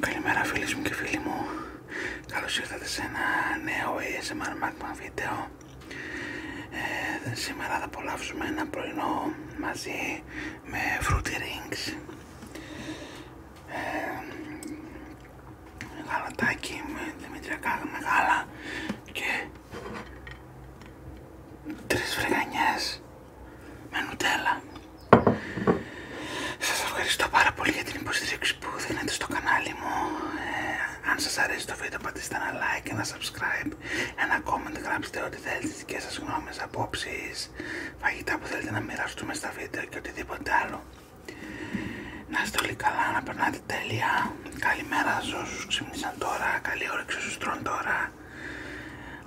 Καλημέρα φίλες μου και φίλοι μου Καλώς ήρθατε σε ένα νέο ASMR Magma βίντεο ε, Σήμερα θα απολαύσουμε ένα πρωινό μαζί με Fruity Rings ε, Γαλατάκι με δημητριακά μεγάλα και τρεις φρυγανιές με νουτέλα. Σας ευχαριστώ πάρα πολύ για την υποστήριξη που δίνετε στο κανάλι μου. Ε, αν σας αρέσει το βίντεο πατήστε ένα like, ένα subscribe, ένα comment, γράψτε ό,τι θέλετε τις δικές σας γνώμες, απόψεις, φαγητά που θέλετε να μοιραστούμε στα βίντεο και οτιδήποτε άλλο. Να είστε όλοι καλά, να περνάτε τέλεια. Καλημέρα σε όσους ξύπνησαν τώρα, καλή όρεξη όσους τρώνε τώρα.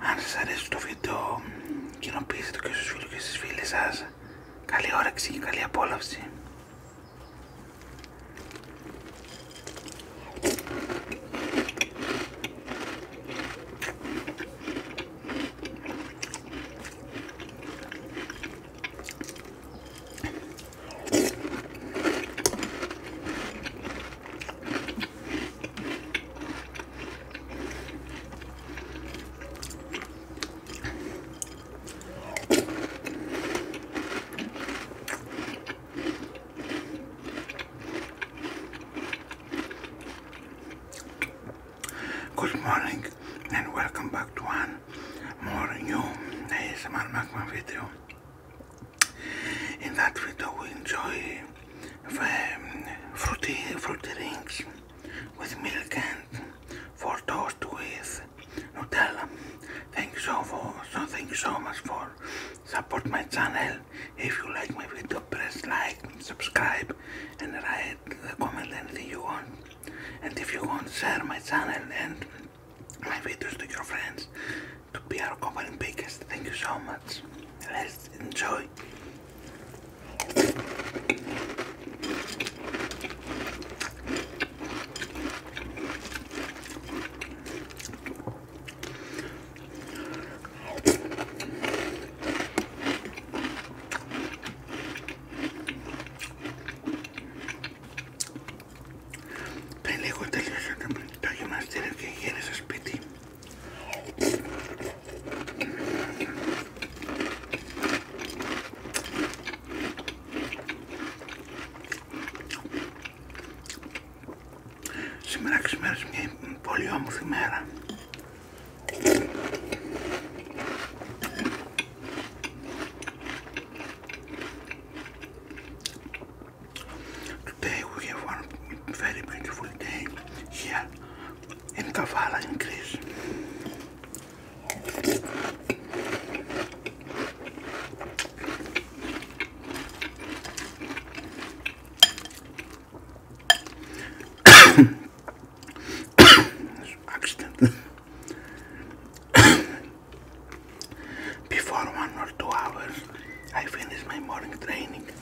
Αν σας αρέσει το βίντεο βίντεο, κοινοποιήστε το και στους φίλους και στις φίλες σας. Καλή όρεξη και καλή απόλαυση. Good morning and welcome back to one more new ASMR Magma video. In that video we enjoy fruity, fruit rings with milk and for toast with Nutella. Thank you so, for, so thank you so much for support my channel. If you like my video, press like, subscribe, and write the comment anything you want. And if you want, share my channel and my videos to your friends to be our company biggest. Thank you so much. Let's enjoy boy. Πριν λίγο τελειώσατε το γυμναστήριο και γύρισα σπίτι Σήμερα ξημέρωσε μια πολύ όμορφη μέρα. Today we have one very beautiful day here encavala em Cristo. accident. Before one or two hours, I finish my morning training.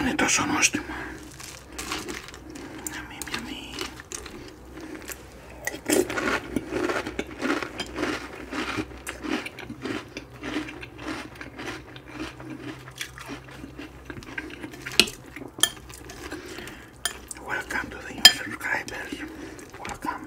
Είναι τόσο νόστιμο. Αμι, αμι. Welcome to the new subscribers. Welcome.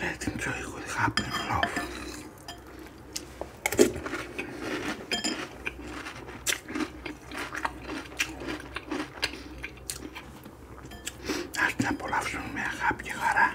Let enjoy what happened, love. Ας την απολαύσουμε με αγάπη χαρά.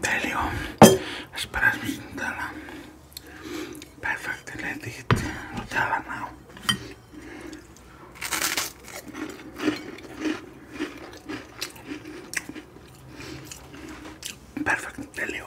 Τέλειο. Ας περάσουμε στην τάλα. Perfect, let τέλειο.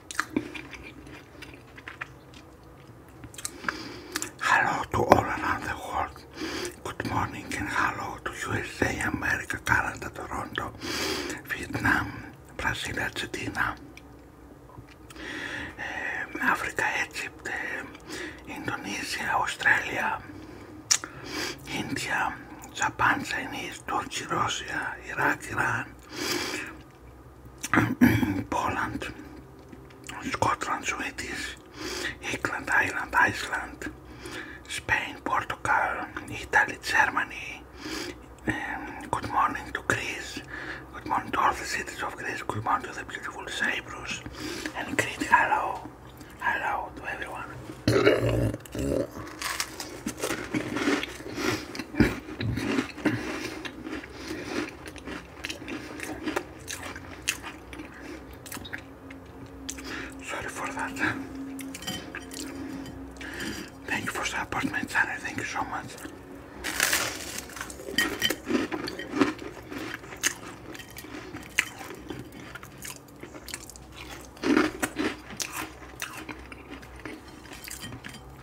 Hello to all around the world. Good morning and hello to USA, America, Canada, Toronto, Vietnam, Brazil, Argentina, Africa, Egypt, Indonesia, Australia, India, Japan, Chinese, Turkey, Russia, Iraq, Iran, Poland, Scotland, Sweden, Iceland, Ireland, Iceland, Spain, Portugal, Italy, Germany. good morning to Greece. Good morning to all the cities of Greece. Good morning to the beautiful Cyprus. And greet hello. Hello to everyone. Sorry for that. Thank you for supporting my channel. Thank you so much.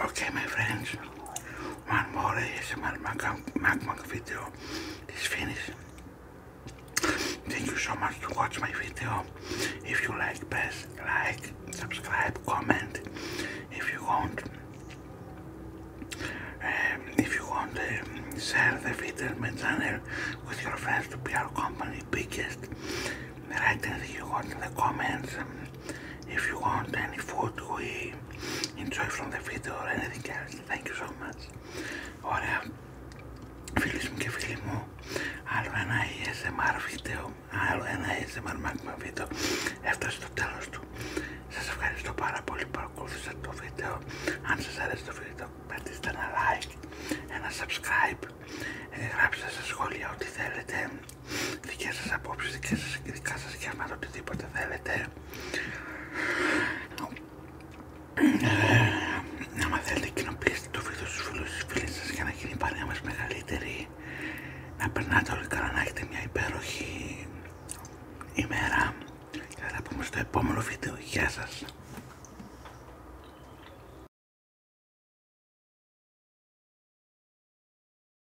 Okay, my friends, one more ASMR MacBook video is finished. Thank you so much to watch my video. If you like, press like, subscribe, comment. If you want, um, if you want, um, share the video, my channel, with your friends to be our company biggest. Write anything you want in the comments. If you want any food we enjoy from the video or anything else, thank you so much. Ωραία, φίλοι μου και φίλοι μου, άλλο ένα ASMR βίντεο, άλλο ένα ASMR magma βίντεο έφτασε στο τέλος του. Σας ευχαριστώ πάρα πολύ που παρακολουθήσατε το βίντεο. Αν σας αρέσει το βίντεο, πατήστε ένα like, ένα subscribe, ε, γράψτε στα σχόλια ό,τι θέλετε δικές σας απόψεις, δικές σας, δικά σας γεύματα, οτιδήποτε θέλετε. Ε, άμα θέλετε κοινοποιήστε το βίντεο στους φίλους στις σας για να γίνει η παρέα μας μεγαλύτερη. Να περνάτε όλοι καλά, να έχετε μια υπέροχη ημέρα. Και θα τα πούμε στο επόμενο βίντεο. Γεια σας.